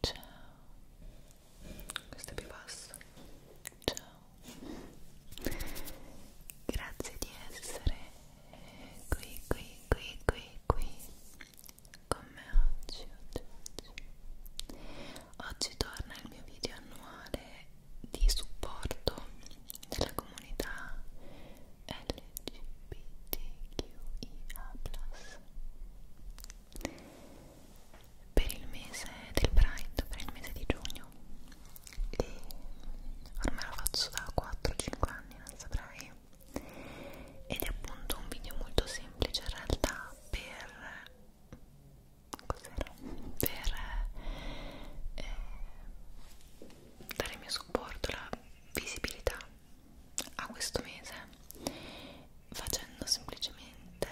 Ciao. Questo è più basso. Ciao. Grazie di essere qui, qui, qui, qui, qui con me oggi. Oggi, oggi. oggi torna il mio video annuale di supporto della comunità LGBTQIA+. Per il mese del Pride, per il mese di giugno, e ormai lo faccio da 4-5 anni, non saprei, ed è appunto un video molto semplice in realtà per cos'era? per eh, dare il mio supporto, la visibilità a questo mese facendo semplicemente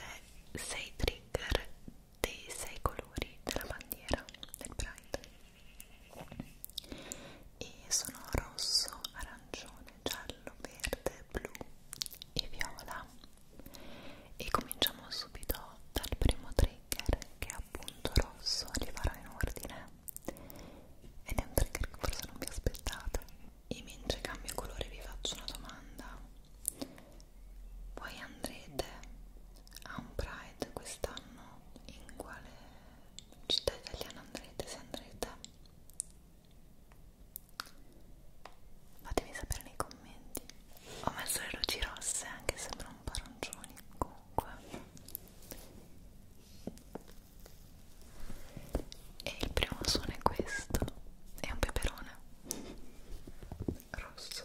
6 trigger dei 6 colori della bandiera del Pride e sono rosso, arancione, giallo, verde, blu e viola e cominciamo subito dal primo trigger che è appunto rosso, li farò in ordine ed è un trigger che forse non vi aspettate e mentre cambio colore vi faccio una domanda voi andrete a un Pride quest'anno? in quale città italiana andrete? se andrete? fatemi sapere nei commenti ho messo le luci rosse anche se sembrano un po' arancioni comunque e il primo suono è questo è un peperone rosso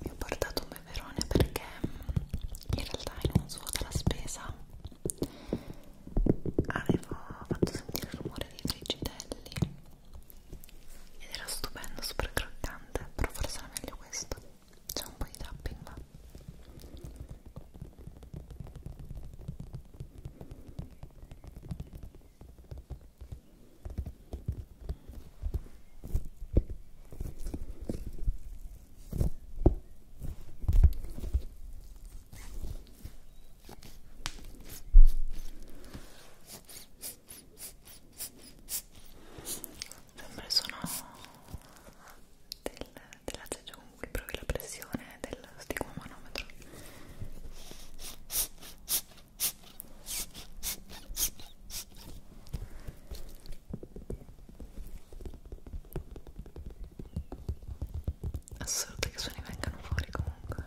Mi ho portato un beverone perché mm, in realtà in un suo della spesa avevo fatto sentire il rumore dei friggitelli ed era stupendo, super croccante, però forse era meglio questo, c'è un po' di tapping ma... Sembra il suono del, della ceggia con cui provi la pressione del stigmomanometro assurdo che suoni vengano fuori comunque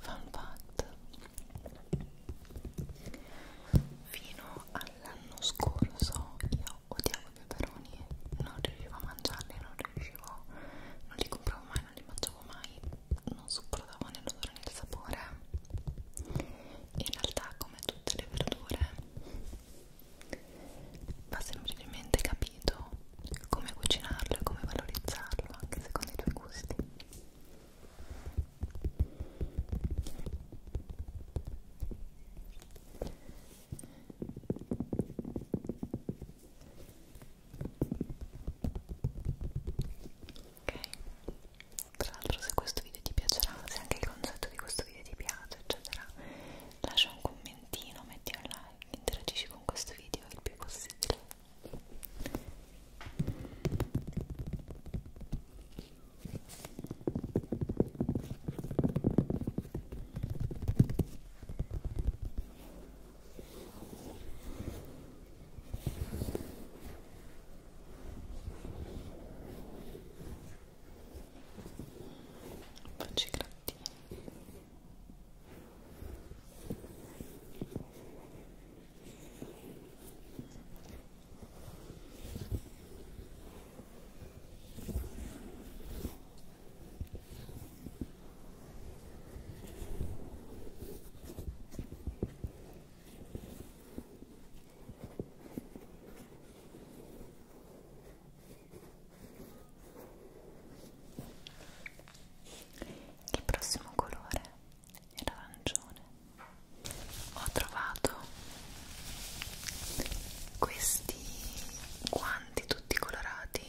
Fun fact fino all'anno scorso io odiavo i peperoni, non riuscivo a mangiarli, non riuscivo, non li compravo mai, non li mangiavo mai, non sopportavo né l'odore né il sapore. In realtà, come tutte le verdure, va semplicemente capito come cucinarlo e come valorizzarlo anche secondo i tuoi gusti. Ok, tra l'altro se questo video ti piacerà, se anche il concetto di questo video ti piace, eccetera, lascia un commentino, metti un like, interagisci con questo video il più possibile. Ok, Facci grattini. Ecco il prossimo colore è l'arancione. Ho trovato questi guanti tutti colorati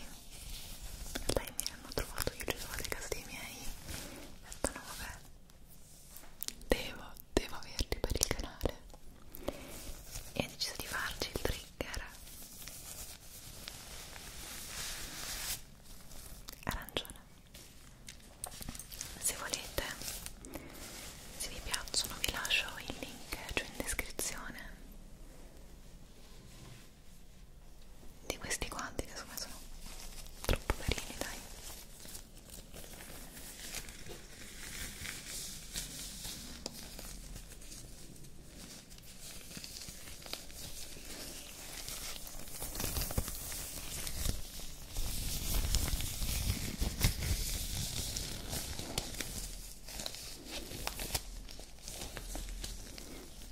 lei me li hanno trovato io li ho trovati a casa dei miei e stanno vabbè devo, devo averli per il canale e ho deciso di farci il trigger arancione se volete se vi piacciono vi lascio il link eh, giù in descrizione di questi guanti che secondo me sono troppo carini dai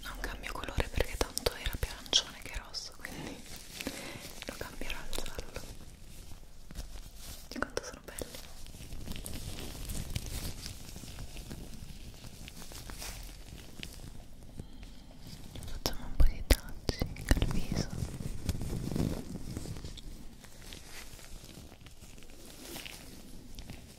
non cambio colore perché tanto era più arancione che rosso quindi lo cambierò al giallo di quanto sono belli facciamo un po' di touching al viso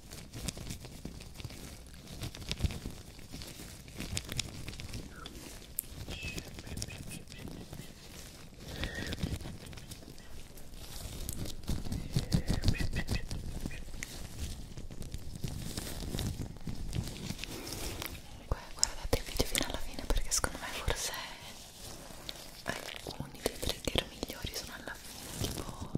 Guardate il video fino alla fine perché secondo me forse alcuni dei trigger migliori sono alla fine tipo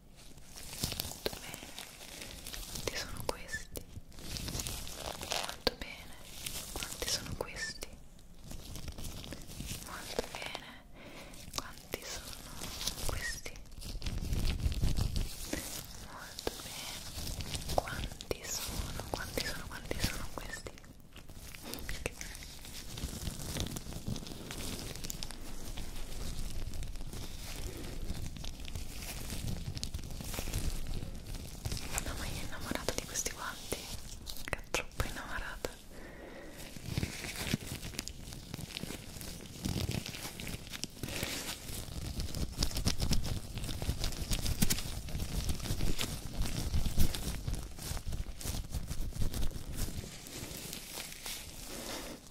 molto bene quanti sono questi molto bene quanti sono questi molto bene quanti sono questi molto bene quanti sono quanti sono quanti sono questi No, ma io innamorata di questi guanti, che è troppo innamorata.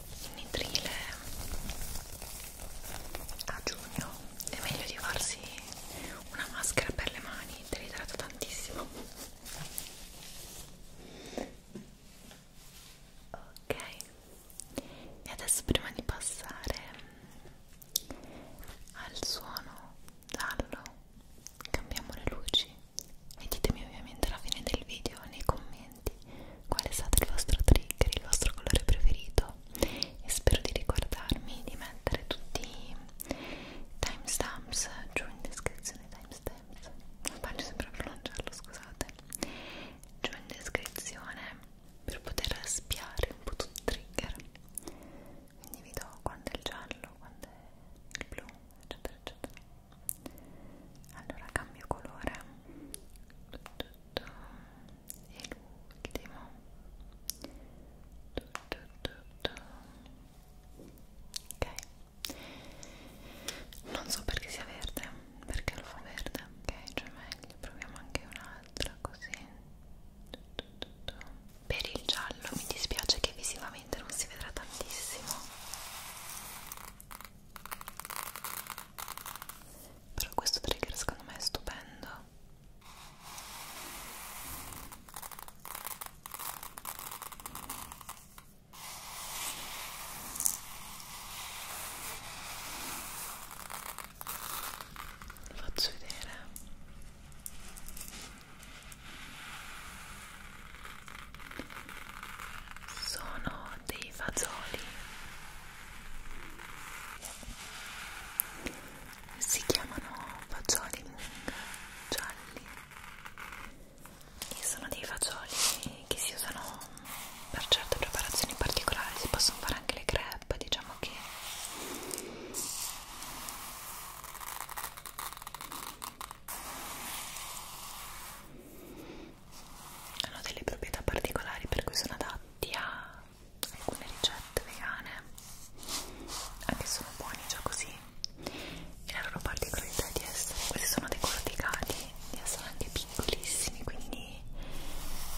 il nitrile a giugno è meglio di farsi una maschera per le mani, te li tratta tantissimo ok e adesso prima di passare al suono giallo cambiamo le luci e ditemi ovviamente alla fine del video nei commenti qual è stato il vostro trigger, il vostro colore preferito e spero di ricordarmi di mettere tutti i timestamps giù in descrizione timestamps non faccio sempre a pronunciarlo scusate giù in descrizione per poter spiare un po' tutti i trigger quindi vi do quando è il giallo, quando è il blu eccetera eccetera allora cambio colore e l'ultimo ok non so perché sia verde perché lo fa verde ok cioè meglio proviamo anche un'altra così per il giallo mi dispiace che visivamente non si vedrà tantissimo però questo trigger secondo me è stupendo lo faccio vedere sono dei fagioli si chiamano fagioli mung gialli e sono dei fagioli che si usano per certe preparazioni particolari si possono fare anche le crepe diciamo che hanno delle proprietà particolari per cui sono adatti a alcune ricette vegane anche sono buoni già così e la loro particolarità è di essere questi sono dei corticati di essere anche piccolissimi quindi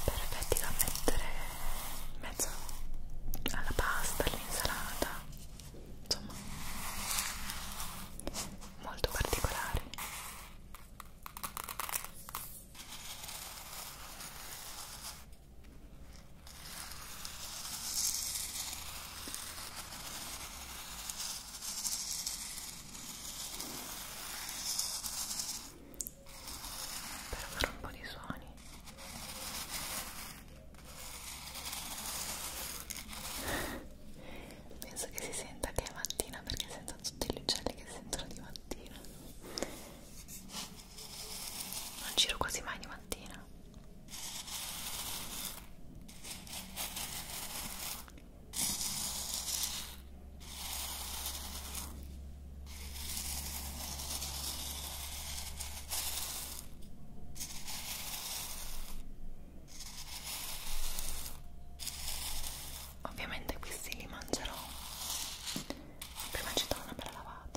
perfetti da mettere in mezzo alla pasta all'insalata insomma molto particolari per fare un po' di suoni penso che si senta che è mattina perché sento tutti gli uccelli che sentono di mattina non giro quasi mai di mattina Ovviamente questi li mangerò prima ci do una bella lavata.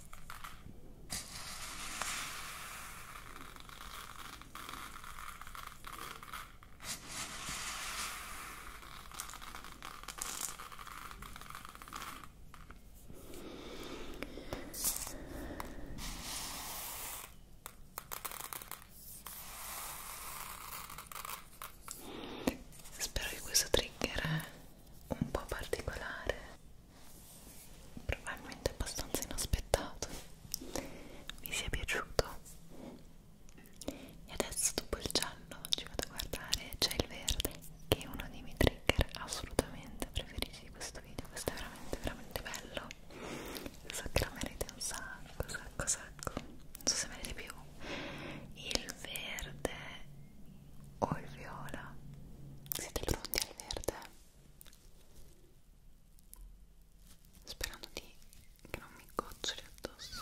Spero che questo trigger un po' particolare probabilmente abbastanza inaspettato vi sia piaciuto e adesso dopo il giallo ci vado a guardare c'è il verde che è uno dei miei trigger assolutamente preferiti di questo video questo è veramente veramente bello so che la merite un sacco sacco sacco non so se merite più il verde o il viola siete pronti al verde? sperando di che non mi goccioli addosso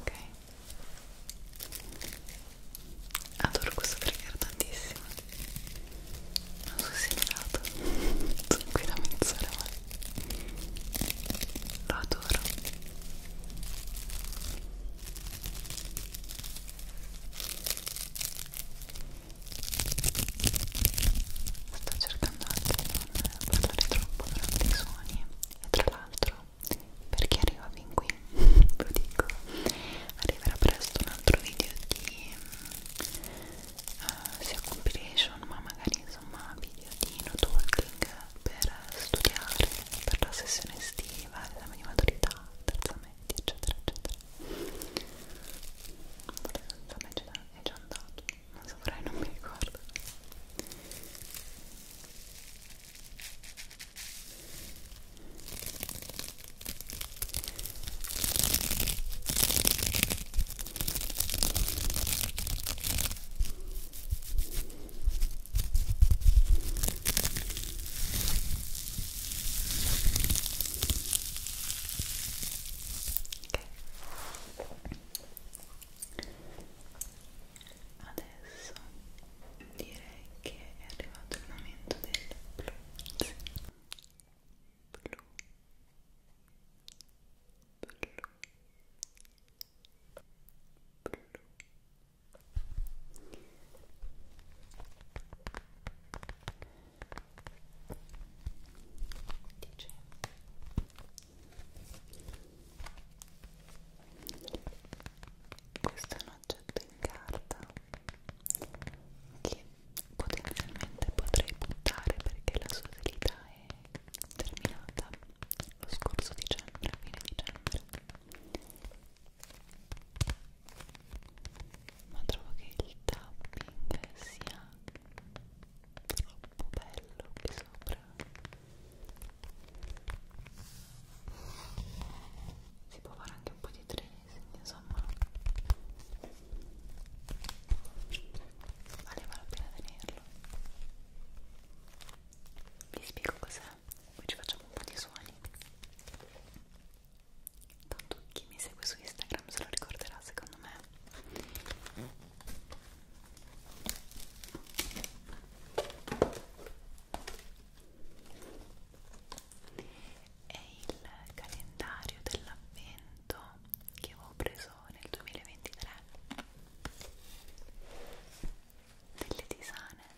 Ok, adoro questo trigger tantissimo. Non sono segnato, sono qui da mezz'ora, ma lo adoro sto cercando anche di non parlare troppo durante i suoni e tra l'altro per chi arriva fin qui ve lo dico arriverà presto un altro video di uh, sia compilation ma magari insomma video di no talking per studiare per la sessione estiva, l'esame di maturità, terza media, eccetera eccetera Vabbè, è già andato, non saprei, non mi ricordo Adesso direi che è arrivato il momento del blu. Blu. Blu blu dice questo è un oggetto in carta che potenzialmente potrei buttare perché la sua utilità è terminata lo scorso dicembre, fine dicembre ma trovo che il tapping sia troppo bello qui sopra si può fare anche un po' di tracing insomma valeva la pena tenerlo farlo vi spiego cos'è poi ci facciamo un po' di suoni tanto chi mi segue su Instagram se lo ricorderà secondo me è il calendario dell'avvento che avevo preso nel 2023 delle tisane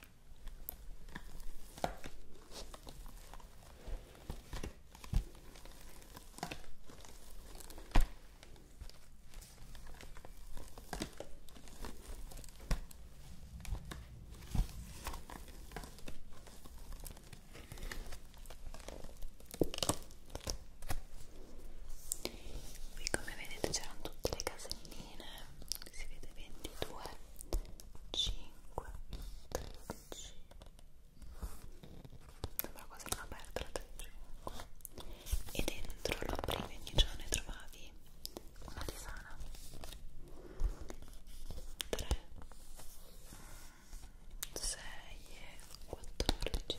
qui come vedete c'erano tutte le caselline si vede 22 5 13 sembra quasi una aperta la 35 e dentro lo aprivi ogni giorno e trovavi una tisana 3 6 14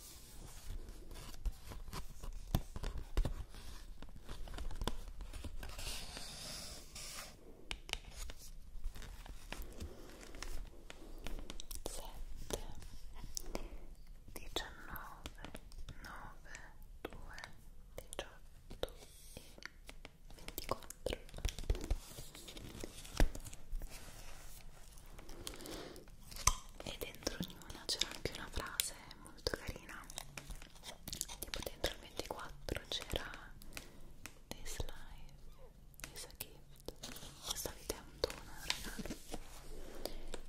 sette diciannove nove due diciotto e ventiquattro e dentro ognuna c'era anche una frase molto carina tipo dentro il 24 c'era this life is a gift questa vita è un dono ragazzi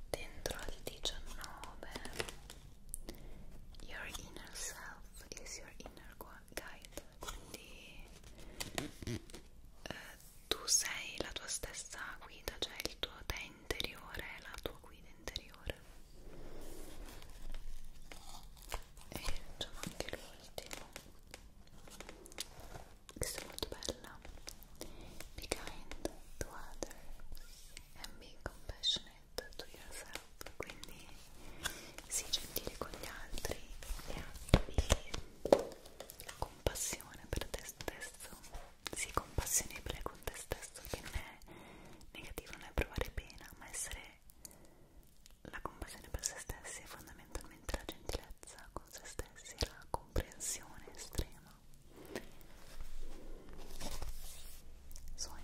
dentro al 19 your inner self is your inner guide quindi eh, tu sei la tua stessa guida, cioè il tuo te interiore, la tua guida interiore. E facciamo anche l'ultimo. Questa è molto bella. Be kind to others and be compassionate to yourself. Quindi sii gentile con gli altri e abbi compassione per te stesso sii compassionevole con te stesso che non è negativo, non è provare pena ma essere la compassione per se stessi è fondamentalmente la gentilezza con se stessi la comprensione estrema suoi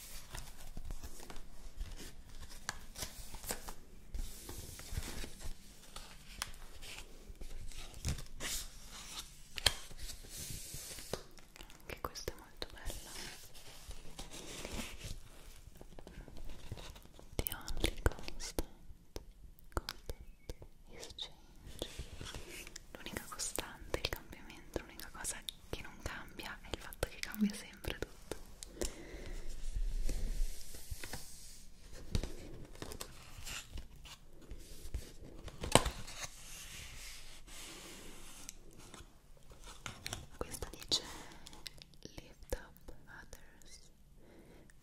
Anche questa è molto bella The only constant constant is change L'unica costante, il cambiamento, l'unica cosa che non cambia è il fatto che cambia sempre tutto questo dice lift up others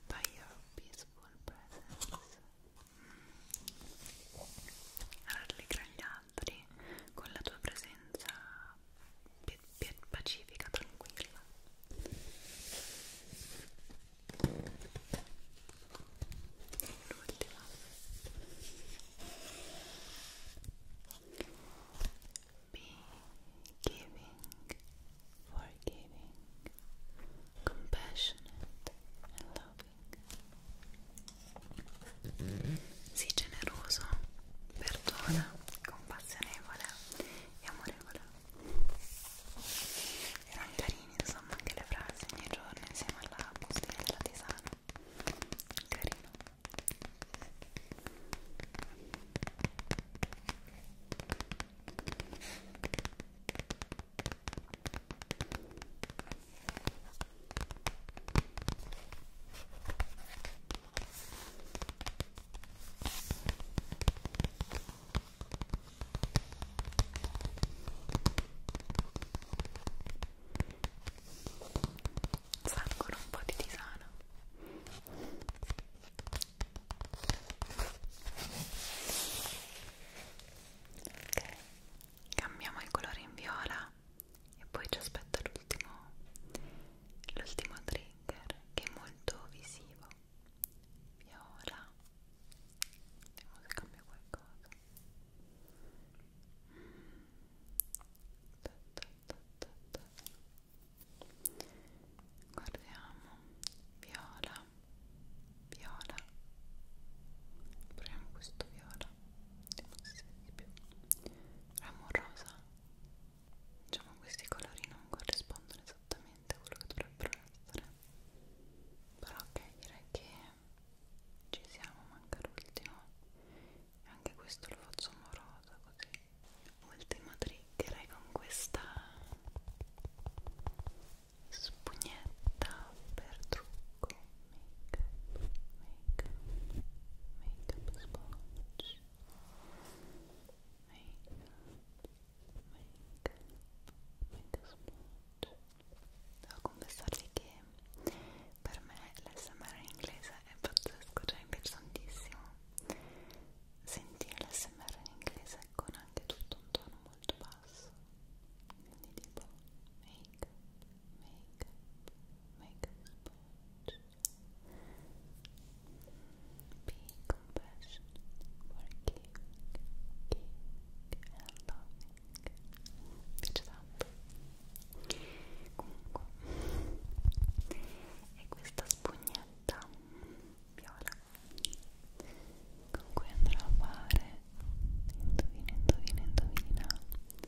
by your peaceful presence mm. rallegra gli altri con la tua presenza pacifica, tranquilla. L'ultima Be giving, forgiving, compassionate and loving Sii generoso, perdona, compassionevole e amorevole. Erano carini, insomma, anche le frasi ogni giorno insieme alla bustina della tisana. Carino. Salgono un po' di tisana. Ok, cambiamo il colore in viola e poi ci aspetta l'ultimo l'ultimo trigger che è molto visivo viola vediamo se cambia qualcosa guardiamo viola viola proviamo questo viola rosa ramo rosa diciamo questi colori non corrispondono esattamente a quello che dovrebbero essere però ok direi che ci siamo manca l'ultimo e anche questo lo faccio rosa così ultimo trigger con questa spugnetta per trucco make up, make make makeup sponge make make make sponge devo confessarvi che per me l'SMR in inglese è pazzesco, cioè mi piace tantissimo sentire l'SMR in inglese con anche tutto un tono molto basso quindi tipo make, make, make sponge Be compassionate, forgiving, giving and loving. Dice tanto. Comunque, e questa spugnetta viola con cui andrò a fare indovina, indovina, indovina il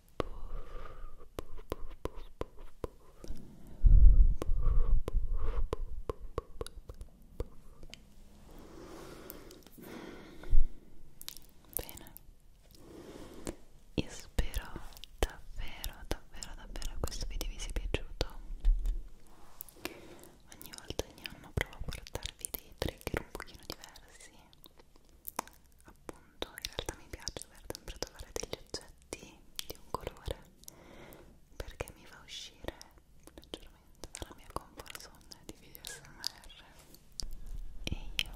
Bene, io spero davvero, davvero, davvero che questo video vi sia piaciuto. Ogni volta, ogni anno provo a portarvi dei trigger un pochino diversi appunto in realtà mi piace dover sempre trovare degli oggetti di un colore perché mi fa uscire leggermente dalla mia comfort zone di video smr e io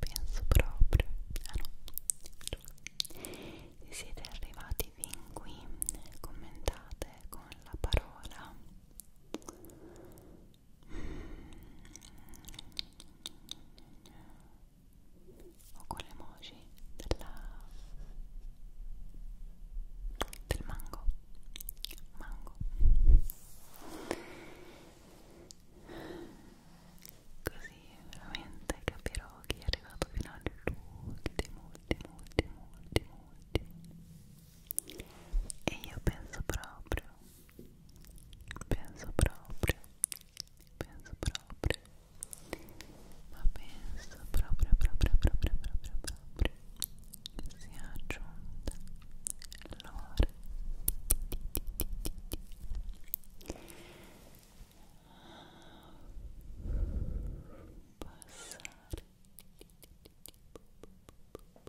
penso proprio ah no se siete arrivati fin qui commentate con la parola o con l'emoji della... del mango mango così veramente capirò chi è arrivato fino all'ultimo ultimo ultimo ultimo ultimo e io penso proprio penso proprio penso proprio ma penso proprio proprio proprio proprio proprio che sia giunta l'ora passare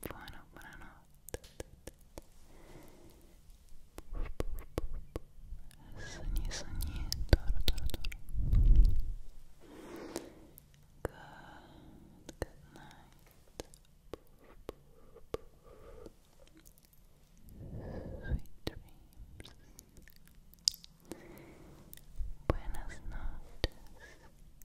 buono, buonanotte good night sweet dreams buenas noches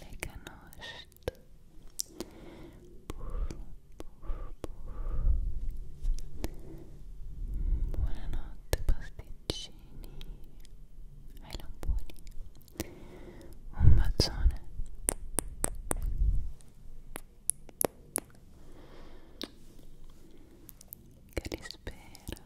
Lekernost. Buonanotte pasticcini ai lamponi. Un bacione. Che li spera.